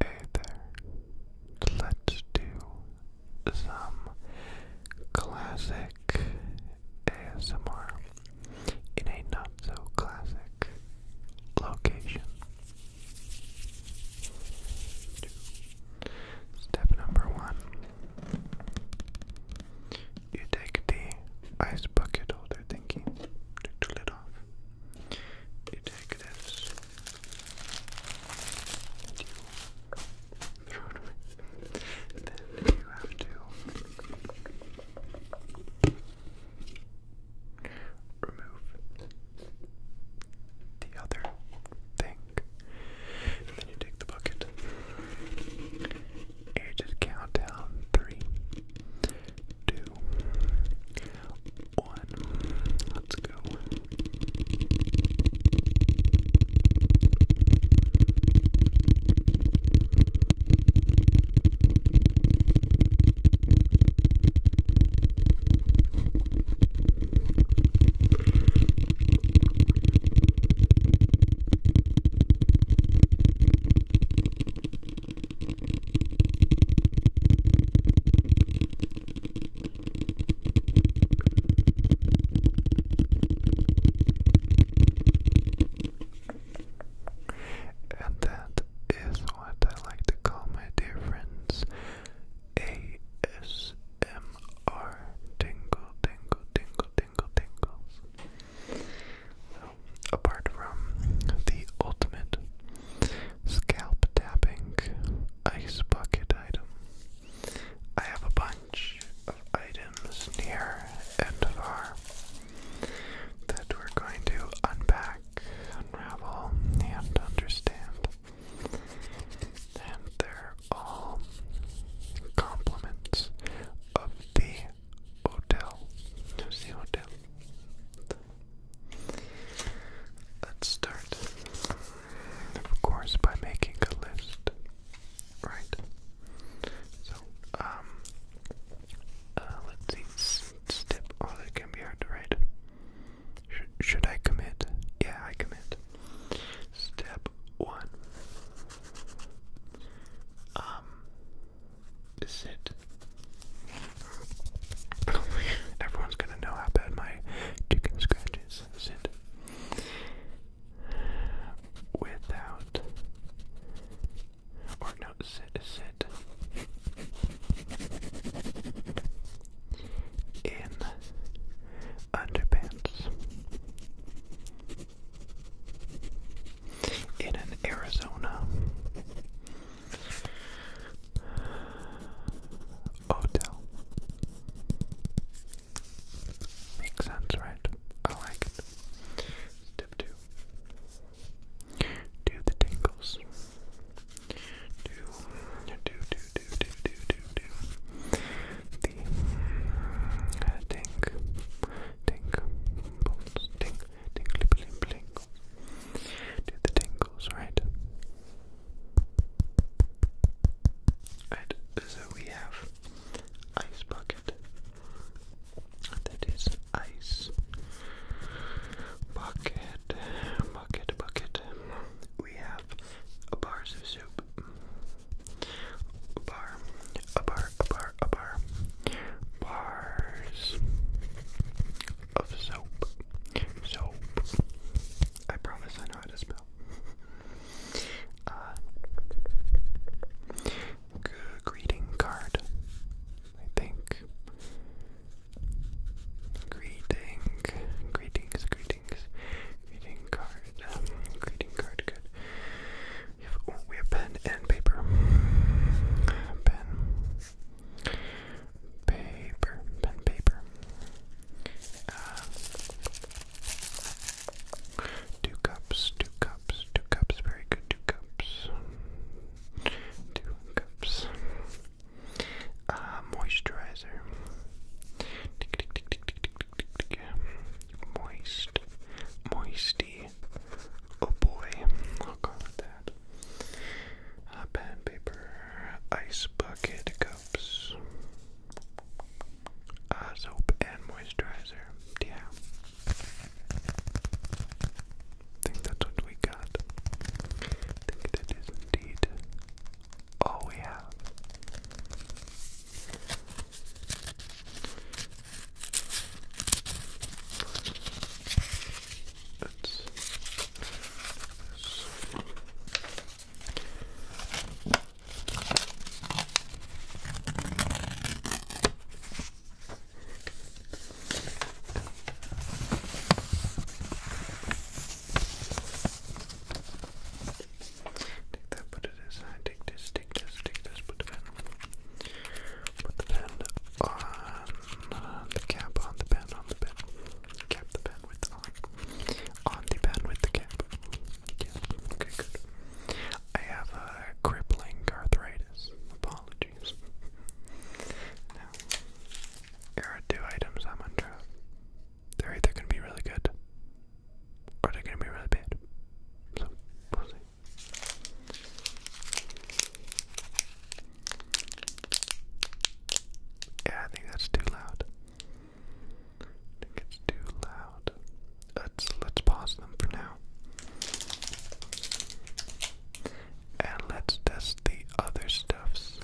Hey let's do some classic ASMR in a not so classic location. Step number one you take the ice bucket holder thingy, take the lid off detectives you run with, then you have to remove the other thing. And then you take the bucket and you just count down three two, one. Let's go. And that is what I like to call my dear friends ASMR tingle, tingle, tingle, tingle, tingles apart from the ultimate scalp tapping ice bucket item, I have a bunch of items near and far that we're going to unpack, unravel, and understand. And they're all complements of the hotel. Who's the hotel? Let's start, of course, by making a list, right? So, um, uh, let's see, step, oh, that can be hard to write. Sh should I commit? Yeah, I commit. Step one. Um, is Everyone's gonna know how bad my chicken scratch is. it? Without or no sit sit in underpants in an Arizona Odell. Makes sense, right? I like it. Step two. Do the tingles. Do, do, do, do, do, do, do, do. The uh, tink, tink, pulse, tink, tink, blink, blink, do the tingles, right? Right, so we have ice bucket. That is ice bucket, bucket, bucket. We have a bar of soup. bar, a bar, a bar, a bar bars of soap. Soap. I promise I know how to spell. Uh, greeting card. I think. Greeting. Greetings, greetings. Greeting card. Um, greeting card, good. we have pen and paper. Pen Paper, pen, paper. Uh, two cups, two cups, two cups. Very good, two cups. Two cups. moisturizer. Moist, moisty oh boy, I'll that. Uh, pen, paper, ice bucket cups, uh, soap and moisturizer. Yeah, I think that's what we got. I think that is indeed all we have. That's Take that, put it aside, take this, take this, take this, put it in. Put the pen on the cap, on the pen, on the pen. Cap the pen with on. On the pen with the cap. Yeah, okay, good. I have a crippling arthritis. Apologies. Now, here are two items I'm under. They're either going to be really good or they're going to be really bad. So, we'll see. Yeah, I think that's too loud. I think it's too loud. Let's let's pause them for now. And let's test the other stuffs.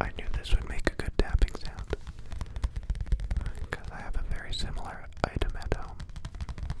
I knew this would make a good tapping sound because I have a very similar item at home. Okay,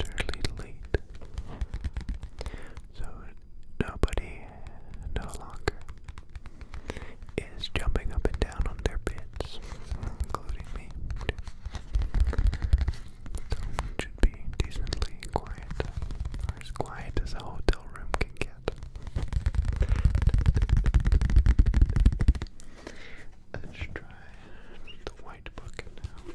Totally late. So nobody no longer is jumping up and down on their beds, including me. So it should be decently quiet, or as quiet as a hotel room can get. Let's try the white book now.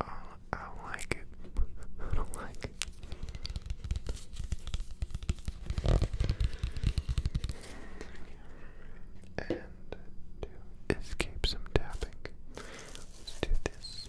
I, I don't like it. I don't like And to escape some tapping, let's do this.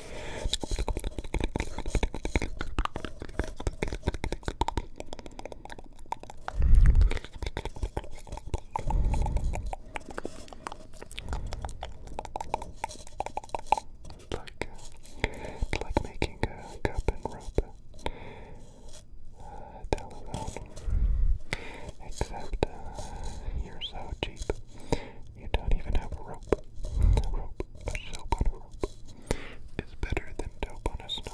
It's like, like making a cup and rope uh, telephone, except uh, you're so cheap. You don't even have a rope is better than dope on a snow.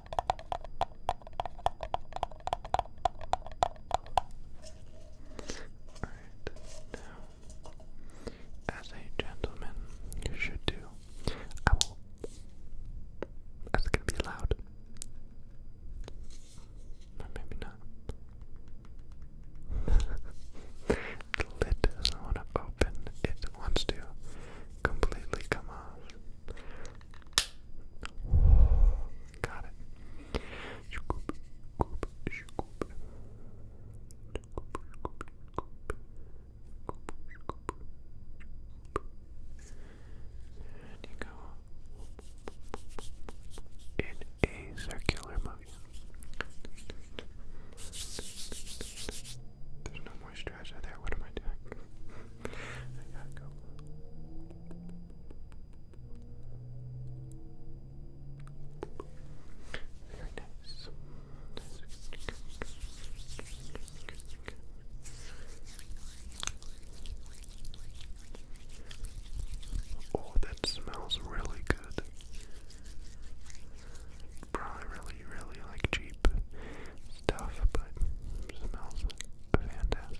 Alright, now, as a gentleman should do, That's gonna be loud. Or maybe not. the lid doesn't want to open, it wants to completely come off. Got it. Scoop, scoop, scoop. Scoop, scoop, scoop. Scoop, scoop. And you go in a circular motion. There's no moisturizer there. What am I doing? I gotta go. Very nice. Oh, that smells really good. Probably really, really like cheap stuff, but smells fantastic.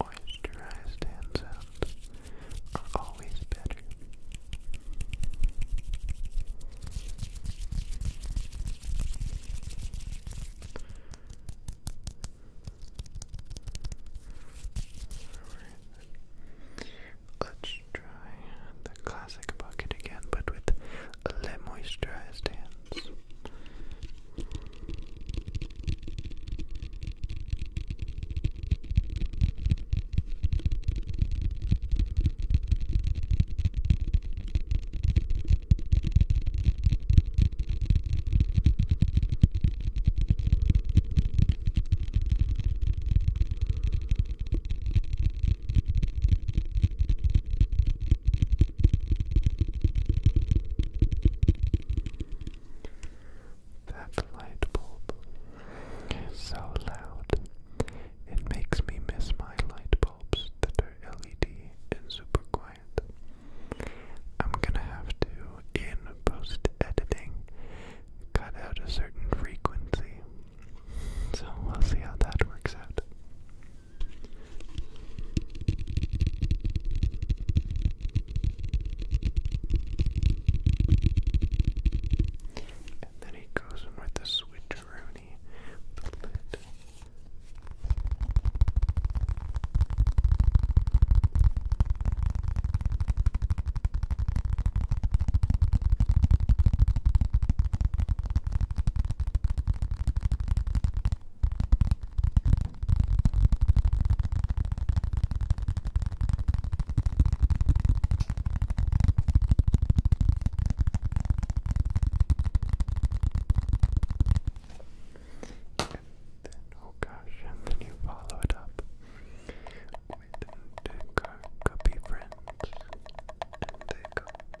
Moisturized hand are always better. Let's the classic bucket again, but with le moisturized hands. That light bulb is so loud, it makes me miss my light bulbs that are LED and super quiet. I'm gonna have to, in post editing, cut out a certain frequency so we'll see how that works out. And then he goes with the switcheroonie, the then, oh gosh, and then you follow it up with Go, go be friends, and they go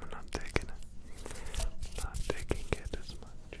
I'm not taking it. Not taking it as much.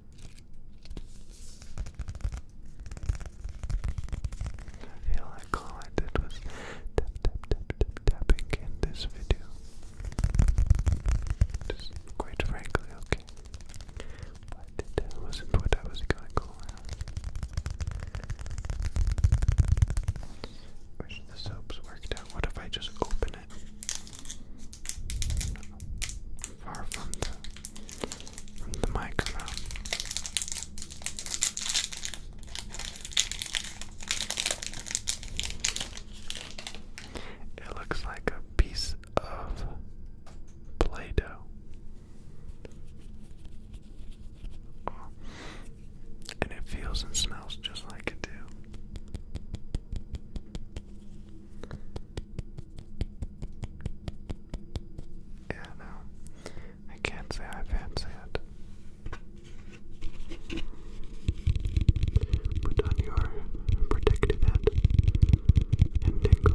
I feel like all I did was tap tap tap tapping in this video. Just quite frankly, okay. But that wasn't what I was going for. Wish the soaps worked What if I just open it? far from the, microphone. It looks like a piece of Play Doh. And it feels and smells just like it do. Yeah, no. I can't say I fancy it. Put on your protective hat and tingle.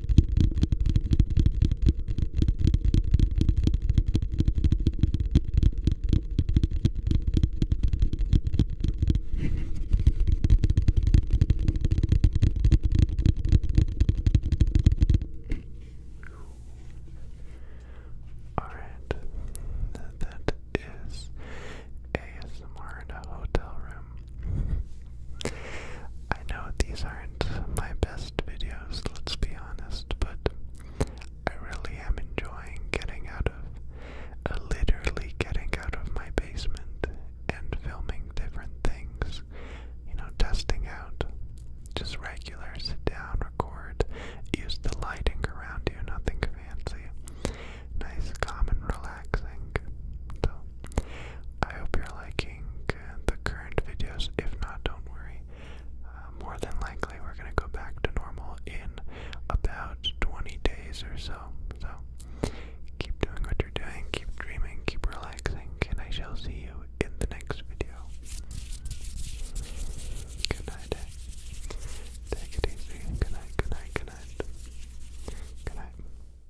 All right, that is ASMR in a hotel room. I know these aren't my best videos, let's be honest, but I really am enjoying getting out of, uh, literally getting out of my basement and filming different things, you know, testing out just regular sit down, record, use the lighting around you, nothing fancy, nice, calm, and relaxing. So, I hope you're liking uh, the current videos. If not, don't worry. Uh, more than likely, we're going to go back to normal in about 20 days or so. So keep doing what you're doing, keep dreaming, keep relaxing, and I shall see you in the next video. Good night. Eh? Take it easy. Good night, good night, good night. Good night.